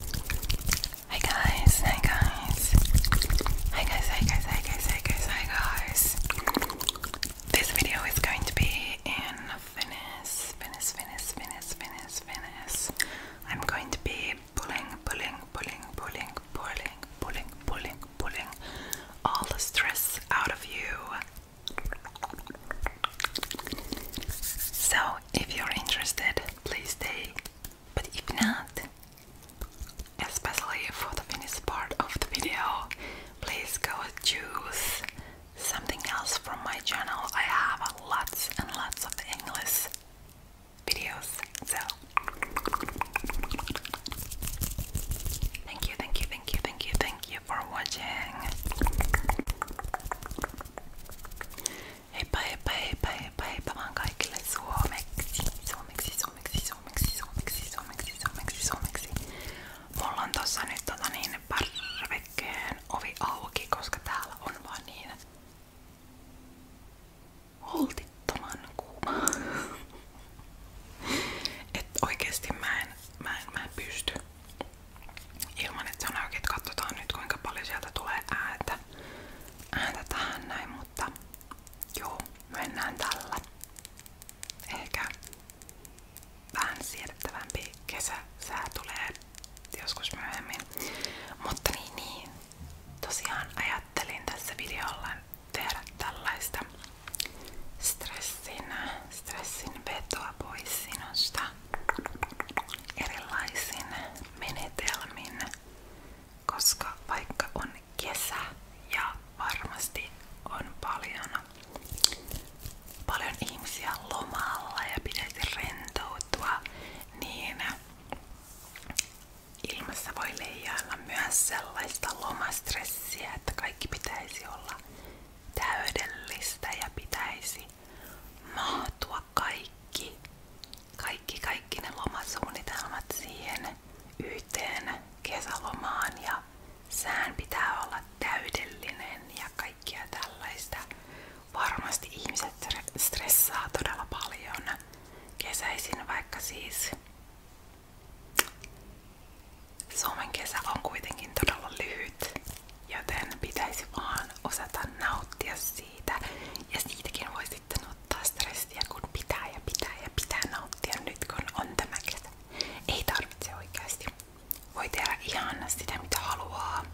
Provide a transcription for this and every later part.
Hi guys, hi guys, hi guys, hi guys, hi guys, hi guys, This video is going to be in Finnish, Finnish, Finnish, Finnish, Finnish, Finnish. I'm going to be pulling, pulling, pulling, pulling, pulling, pulling, pulling, pulling all the stress out of you. So, if you're interested, please stay but if not, especially for the finished part of the video, please go choose something else from my channel. I have lots and lots of English videos. So thank you, thank you, thank you, thank you, thank you for watching. Heippa heippa heippa heippa heippa vaan kaikille suomeksi. Suomeksi, suomeksi, suomeksi, suomeksi, suomeksi, suomeksi, suomeksi. Mulla on tossa nyt tota niin parvekkeen ovi auki, koska täällä on vaan niin holtittoman kuuma. Että oikeesti mä mä mä pysty ilman, että se on auki, että katsotaan nyt kuinka paljon sieltä tulee ääntä ääntä näin, mutta joo, mennään tällä. Ehkä vähän siedettävämpi kesäsää tulee joskus myöhemmin. Mutta niin, niin, Tosiaan ajattelin tässä videolla tehdä tällaista stressin, vetoa pois erilaisin menetelmin, koska vaikka on kesä ja varmasti on paljon, paljon ihmisiä lomalla ja pitäisi rentoutua, niin ilmassa voi leijailla myös sellaista lomastressiä, että kaikki pitäisi olla täydellistä ja pitäisi mahtua kaikki, kaikki, kaikki ne lomasuunnitelmat siihen yhteen kesälomaan ja sään pitää olla täydellinen ja kaikkia tällaista. Varmasti ihmiset stressaa todella paljon kesäisin, vaikka siis Suomen kesä on kuitenkin todella lyhyt Joten pitäisi vaan osata nauttia siitä. Ja siitäkin voi sitten ottaa stressiä, kun pitää ja pitää ja pitää nauttia nyt, kun on tämä kesä. Ei tarvitse oikeasti. Voi tehdä ihan sitä, mitä haluaa.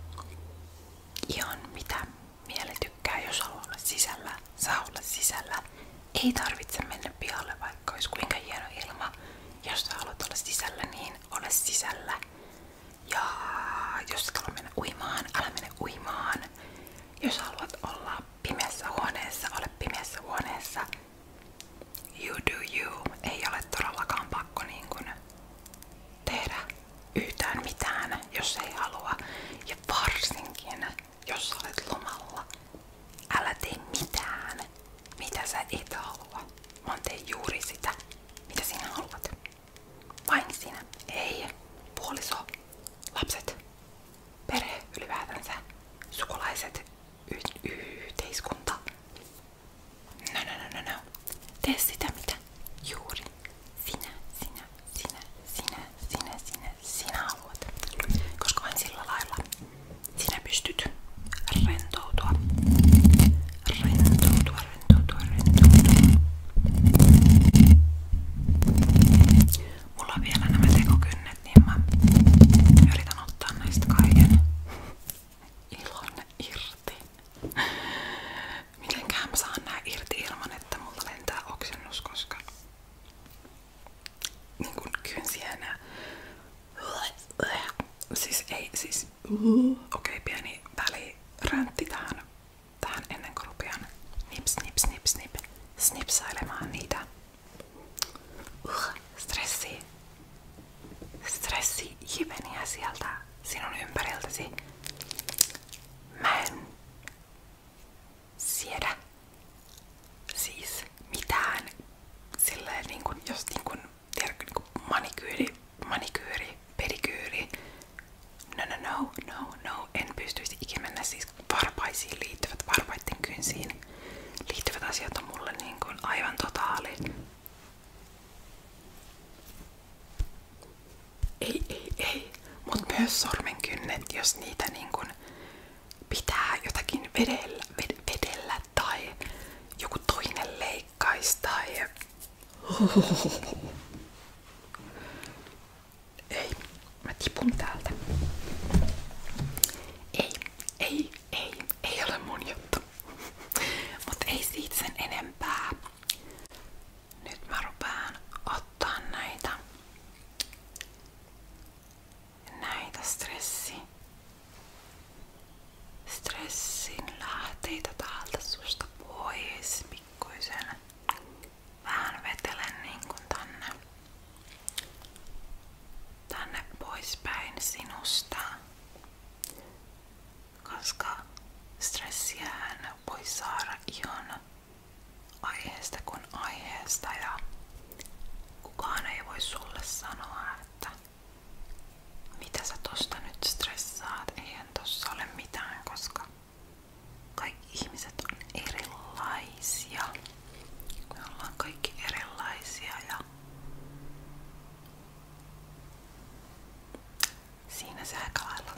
Ihan mitä mieli tykkää, jos haluaa olla sisällä, saa olla sisällä. Ei tarvitse mennä pihalle, vaikka olisi kuinka hieno ilma. Jos sä haluat olla sisällä, niin ole sisällä. Ja jos et halua mennä uimaan, älä mene uimaan. Jos haluat olla pimeässä huoneessa, ole pimeässä huoneessa. You do you. Ei ole todellakaan pakko niin kun tehdä yhtään mitään, jos ei halua. Ja varsinkin, jos olet lomalla, älä tee mitään, mitä sä et halua, vaan tee juuri sitä, mitä sinä haluat. Vain sinä. Ei. Puoliso. Lapset. Perhe ylipäätänsä. Sukulaiset. Y yhteiskunta. No, no, no, no, no. Tee sitä mitä juuri sinä, sinä, sinä, sinä, sinä, sinä, sinä haluat. Koska vain sillä lailla sinä pystyt rentoutua. Rentoutua, Mulla vielä nämä tekokynnet, niin mä yritän ottaa näistä kaiken ilon irti. irti ilman, että mulla koska niin kun kynsienä siis ei, siis okei okay, pieni väliräntti tähän tähän ennen kuin rupean snipsailemaan niitä uh, stressi, stressi hiveniä sieltä sinun ympäriltäsi. Mä en siedä siis mitään silleen niin kuin, jos niin kuin, tiedätkö, niin manikyyri, pedikyyri, no no no, no no, en pystyisi ikinä mennä siis varpaisiin liittyvät, varpaiden kynsiin liittyvät asiat on mulle niin kuin aivan totaali. Ei, ei, ei. Mut myös sormenkynnet, jos niitä niin kuin pitää jotakin vedellä, ved, vedellä tai joku toinen leik, leikkaista ja... Ei, mä tipun täältä. Ei, ei, ei, ei ole mun juttu. Mut ei siitä sen enempää. Nyt mä rupaan ottaa näitä näitä stressi stressin lähteitä täältä susta pois pikkuisen vähän vetelen niin kuin tänne, tänne poispäin sinusta, koska stressiään voi saada ihan aiheesta aiheesta ja kukaan ei voi sulle sanoa, että mitä sä tosta nyt stressaat, eihän tossa ole mitään, koska kaikki ihmiset on erilaisia. Me ollaan kaikki erilaisia ja siinä se aika lailla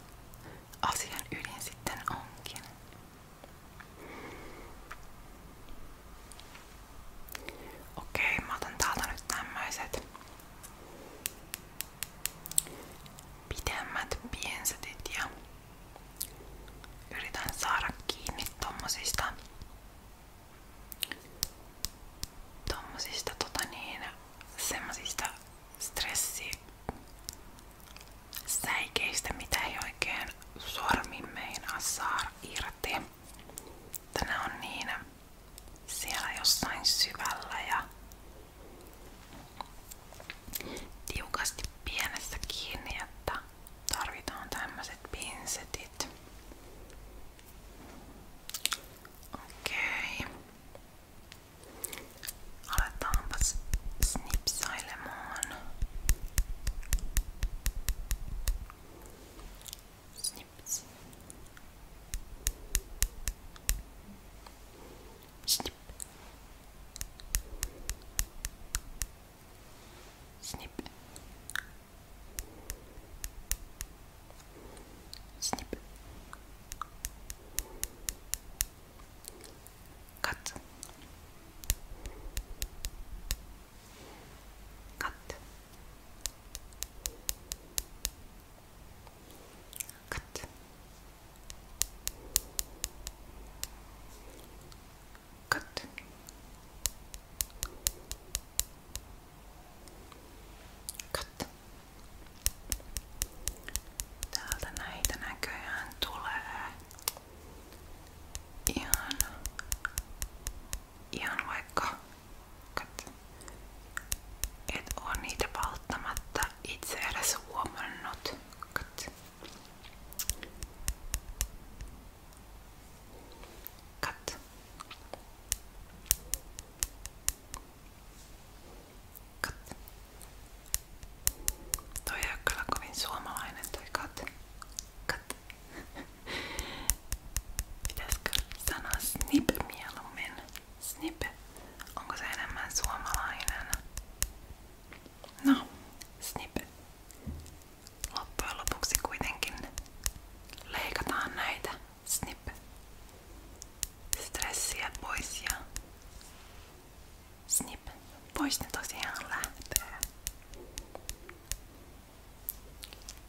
asian ydin sitten onkin. Okei, mä otan täältä nyt tämmöiset pidemmät piensetit ja yritän saada kiinni tommosista tommosista tota niin semmosista stressisäikeistä, mitä ei oikein sormin meinaa saa irti. Tänä on niin siellä jossain syvällä ja tiukasti pienessä kiinni, että tarvitaan tämmöiset pinsetit. Okei. Okay. Aletaanpas snipsailemaan. Snips. スニップスニップスニップカッツカッツ Cut. Cut. Cut. Täältä näitä näköjään tulee ihan, ihan vaikka et ole niitä välttämättä itse edes huomannut. Kat. Kat. Kat. Toi ei ole kyllä kovin suomalainen toi kat. Kat. Pitäisikö sanoa snip mieluummin? Snip. Onko se enemmän suomalainen? No, snip. Loppujen lopuksi kuitenkin leikataan näitä snip. Stressiä pois ja snip. Pois ne tosiaan lähtee.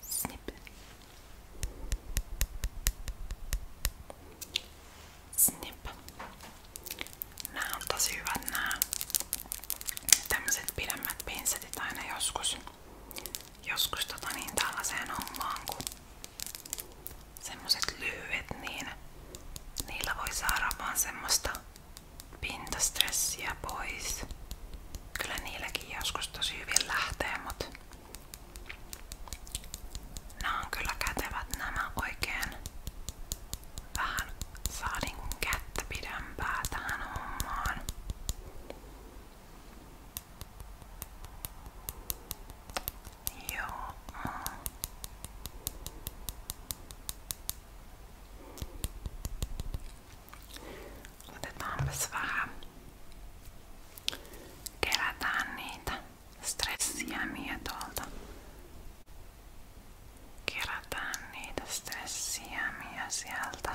Snip. Snip. Nää on tosi hyvät nää tämmöset pidemmät pinsetit aina joskus. Joskus tota niin tällaiseen hommaan kun semmoset lyhyet niin niillä voi saada vaan semmoista pintastressiä pois. Kyllä niilläkin joskus tosi hyvin lähtee, mut Nämä on kyllä kätevät nämä oikein vähän saa niinku kättä pidempää tähän hommaan. Joo. Otetaanpas vähän. Kerätään niitä stressiämiä tuolta. Kerätään niitä stressiämiä sieltä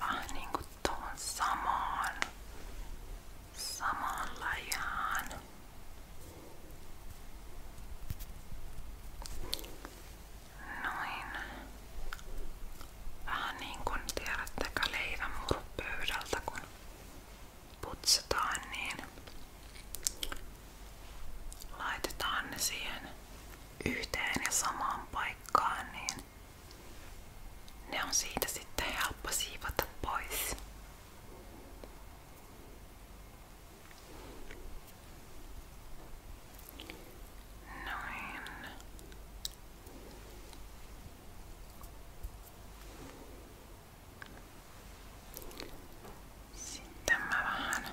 vähän niinku tuohon samaan, samaan lajaan. Noin. Vähän niin kuin tiedättekö leivän murupöydältä, kun putsataan, niin laitetaan ne siihen yhteen ja samaan paikkaan, niin ne on siitä sitten helppo siivota pois. Noin. Sitten mä vähän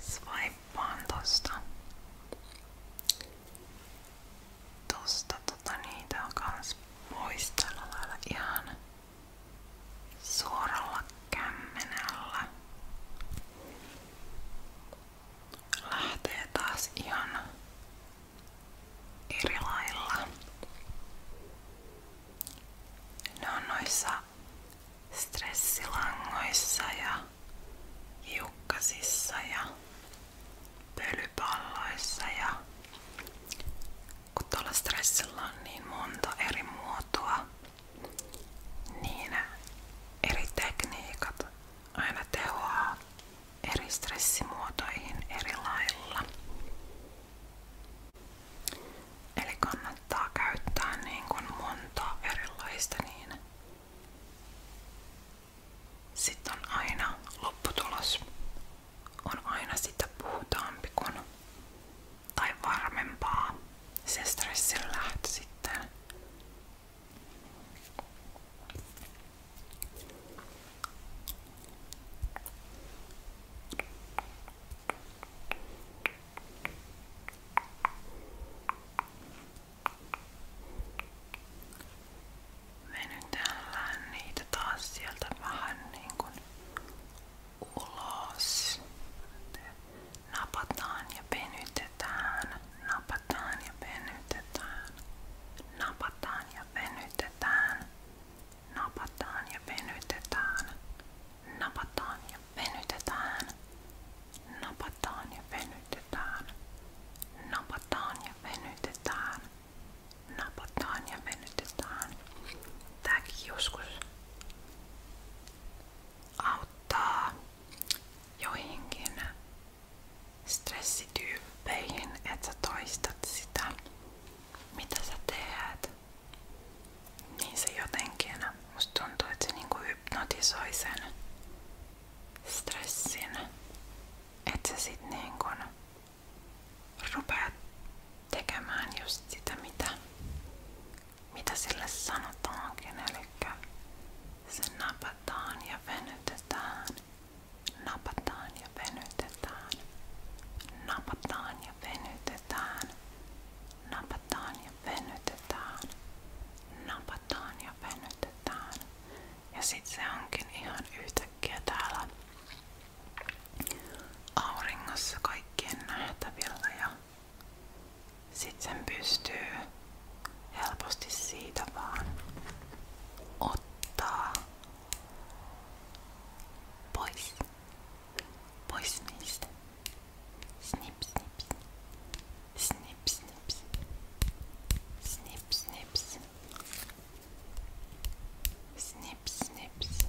Swipeaan tosta. Tosta tota niitä on kans pois tällä lailla ihan suoralla kämmenellä lähtee taas ihan eri lailla. Ne on noissa stressilangoissa ja hiukkasissa ja pölypalloissa ja kun tuolla stressillä on niin monta eri muotoa, niin eri tekniikat aina tehoaa eri stressimuotoihin eri lailla. Eli kannattaa käyttää niin kuin montaa erilaista niin sitten on aina lopputulos. On aina sitä puhutaampi kuin tai varmempaa se stressin lähtö sitten. Venytellään niitä taas sieltä vähän niin kuin ulos. Napataan ja venytetään. Napataan ja venytetään. Napataan ja venytetään. Napataan ja venytetään. Napataan ja venytetään. Napataan ja venytetään. Napataan ja venytetään. Napataan ja venytetään. Tääkin joskus auttaa joihinkin stressityyppeihin, että sä toistat sitä, mitä sä teet. Niin se jotenkin, musta tuntuu, että se niinku hypnotisoi sen stressin, että sä sit niinku rupeat tekemään just sitä, mitä mitä sille sanotaankin, eli se napataan ja venytetään, napataan ja venytetään, napataan ja venytetään, napataan ja venytetään, napataan ja venytetään. Ja sit se onkin ihan yhtäkkiä täällä auringossa kaikkien nähtävillä ja Sit sen pystyy helposti siitä vaan ottaa pois. Pois niistä. Snip, snip, snip, snip, snip, snip, snip, snip, snip, snip,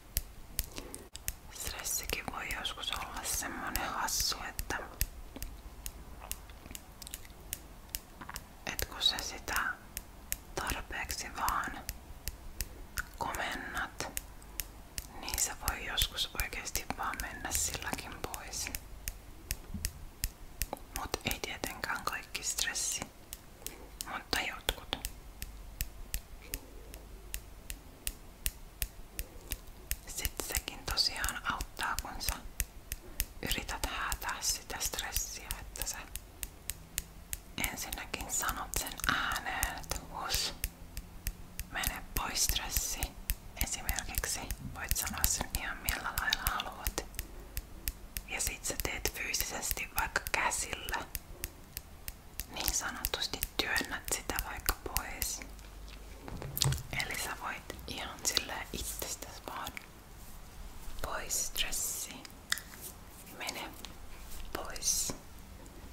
Stressikin voi joskus olla semmonen hassu, että et kun sä sitä tarpeeksi vaan komennat, niin se voi joskus oikeasti vaan mennä silläkin pois. Mut ei tietenkään kaikki stressi, mutta jotkut. Sitten sekin tosiaan auttaa, kun sä yrität häätää sitä stressiä, että sä ensinnäkin sanot sen ääneen, että hus, mene pois stressi. Esimerkiksi voit sanoa sen ihan millä lailla haluat. Ja sit sä teet fyysisesti vaikka käsillä niin sanotusti työnnät sitä pois. Eli sä voit ihan sillä itsestäsi pois stressi. Mene pois.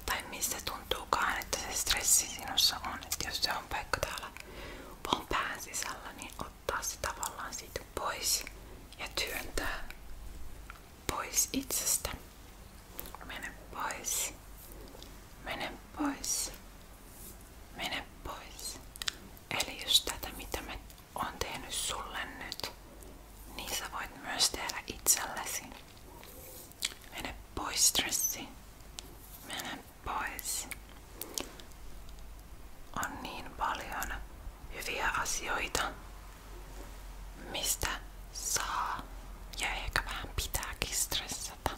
Tai mistä tuntuukaan, että se stressi sinussa on. Että jos se on vaikka täällä on pään sisällä, niin ottaa se tavallaan siitä pois ja työntää pois itsestä. Mene pois. Mene pois. Mene pois. Eli jos tätä mitä mä oon sulle nyt, niin sä voit myös tehdä itsellesi. Mene pois stressi. Mene pois. On niin paljon hyviä asioita, mistä saa ja ehkä vähän pitääkin stressata.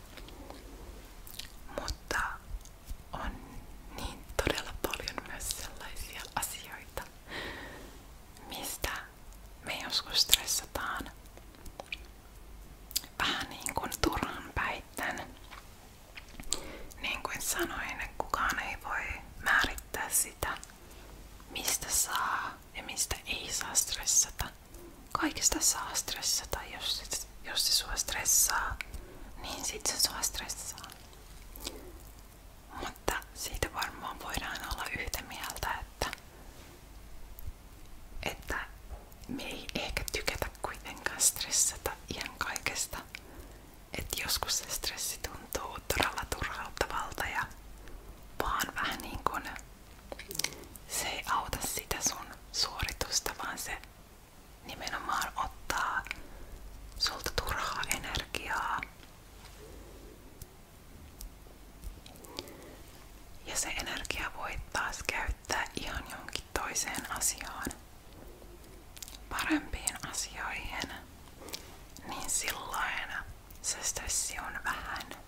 Mutta on niin todella paljon myös sellaisia asioita, mistä me joskus stressataan vähän niin kuin turhan päitten. Niin kuin sanoin, kukaan ei voi määrittää sitä, mistä saa ja mistä ei saa stressata kaikesta saa stressata. Jos, jos se sua stressaa, niin sit se sua stressaa. Mutta siitä varmaan voidaan olla yhtä mieltä, että, että me ei ehkä tykätä kuitenkaan stressata ihan kaikesta. Että joskus se stressi tuntuu todella turhauttavalta ja vaan vähän niin kuin se ei sitä sun vaan se nimenomaan ottaa sulta turhaa Ja se energia voi taas käyttää ihan jonkin asiaan, parempiin asioihin, niin silloin se stressi on vähän.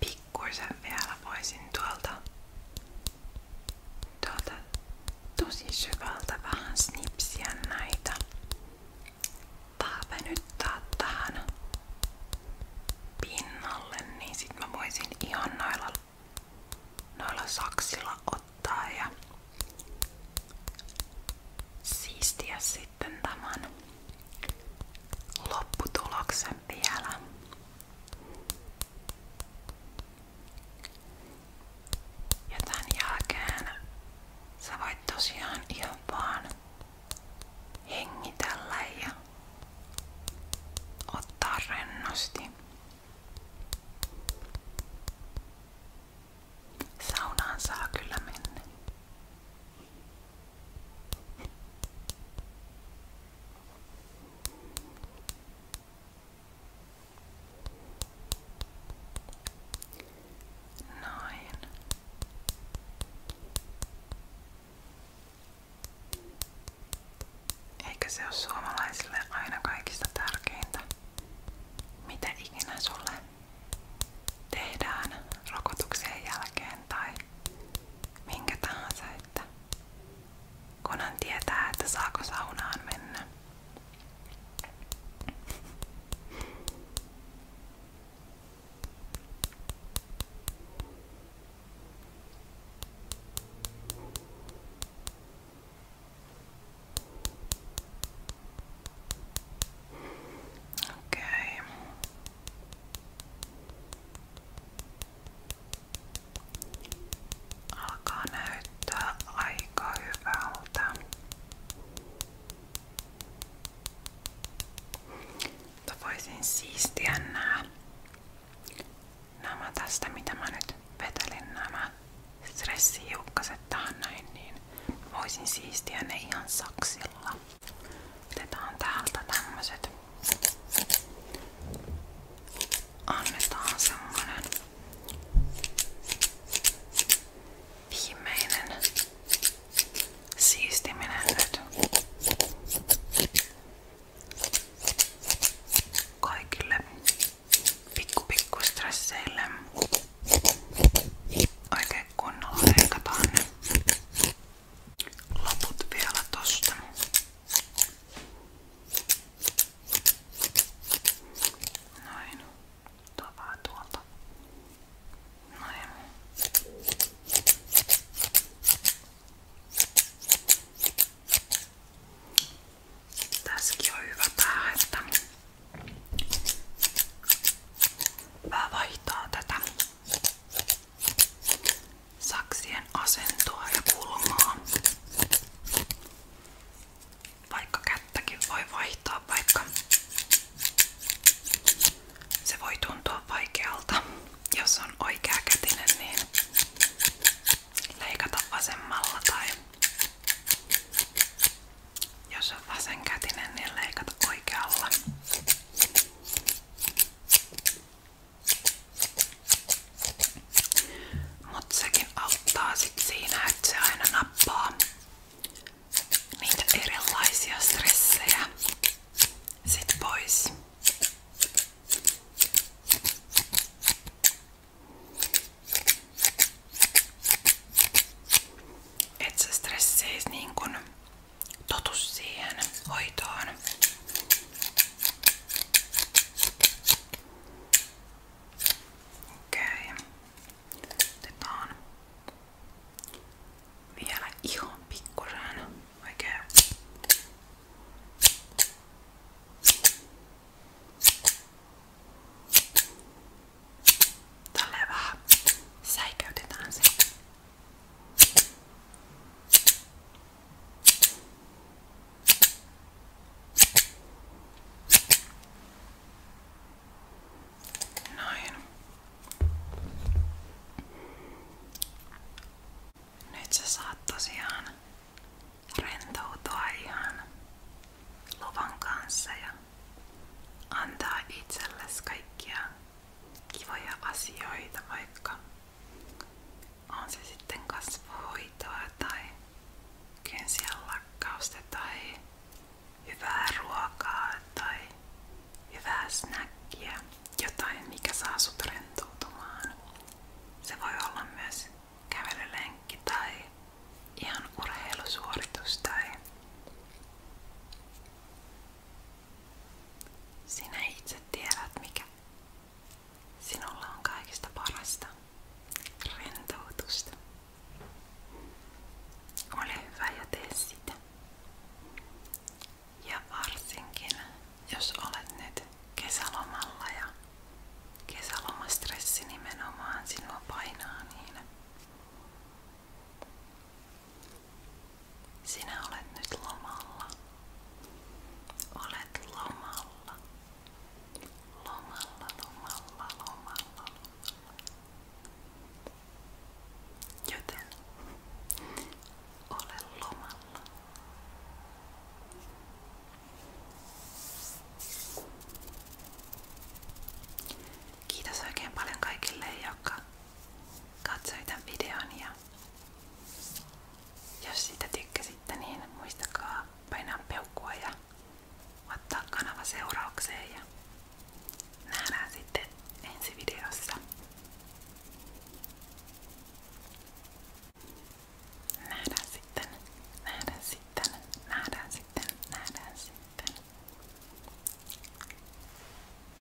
Pikkuisen vielä voisin tuolta, tuolta tosi syvältä vähän snipsiä näitä. Taapenyttää tähän pinnalle, niin sit mä ihan noilla, noilla saksilla ottaa ja siistiä sitten tämän lopputuloksen vielä. Ja tämän jälkeen sä voit tosiaan ihan vaan hengitellä ja ottaa rennosti. Saunaan saa kyllä mennä. Eikö se ole aina kaikista tärkeintä? Mitä ikinä sulle tehdään rokotuksen jälkeen, jotain tai minkä tahansa, että kunhan tietää, että saako saunaan mennä. Okei. Okay. Alkaa näyttää aika hyvältä. Mutta voisin siistiä nämä, nämä mitä mä nyt vetelin nämä stressihiukkaset tähän näin, niin voisin siistiä ne ihan saksilla. Otetaan täältä tämmöset. Annetaan semmonen viimeinen siistiminen nyt. Kaikille pikku pikku stresseille oikein kunnolla leikataan ne loput vielä tosta. Noin. Tuo vähän tuolta. Noin. Tässäkin on hyvä tää, että mä vaihtaa tätä saksien asentoa ja kulmaa. Vaikka kättäkin voi vaihtaa, vaikka se voi tuntua vaikealta. Jos on oikea kätinen, niin leikata vasemmalla tai jos on vasenkätinen, niin leikata oikealla. Mut sekin auttaa sit siinä, että se aina nappaa niitä erilaisia stressejä sit pois. Et se stressi niin kun totus siihen hoitoon. Okei. Otetaan vielä ihan pikkusen oikein. Tälleen vähän säikäytetään se. Näin. Nyt sä saat tosiaan rentoutua ihan luvan kanssa ja antaa itsellesi kaikkia kivoja asioita, vaikka on se sitten kasvuhoitoa tai kynsien lakkausta tai hyvää ruokaa tai hyvää snäkkiä, jotain mikä saa sut rentoutumaan. Se voi olla myös kävelylenkki tai ihan urheilusuoritus tai sinä itse tiedät mikä sinulla on kaikista parasta rentoutusta. Ole hyvä ja tee sitä. Ja varsinkin, jos olet nyt kesälomalla ja kesälomastressi nimenomaan sinua painaa, niin sinä olet nyt lomalla. Olet lomalla. Lomalla, lomalla, lomalla, lomalla. Joten ole lomalla. Kiitos oikein paljon kaikille, jotka katsoivat tämän videon jos siitä tykkäsitte, niin muistakaa painaa peukkua ja ottaa kanava seuraukseen ja nähdään sitten ensi videossa. Nähdään sitten, nähdään sitten, nähdään sitten, nähdään sitten.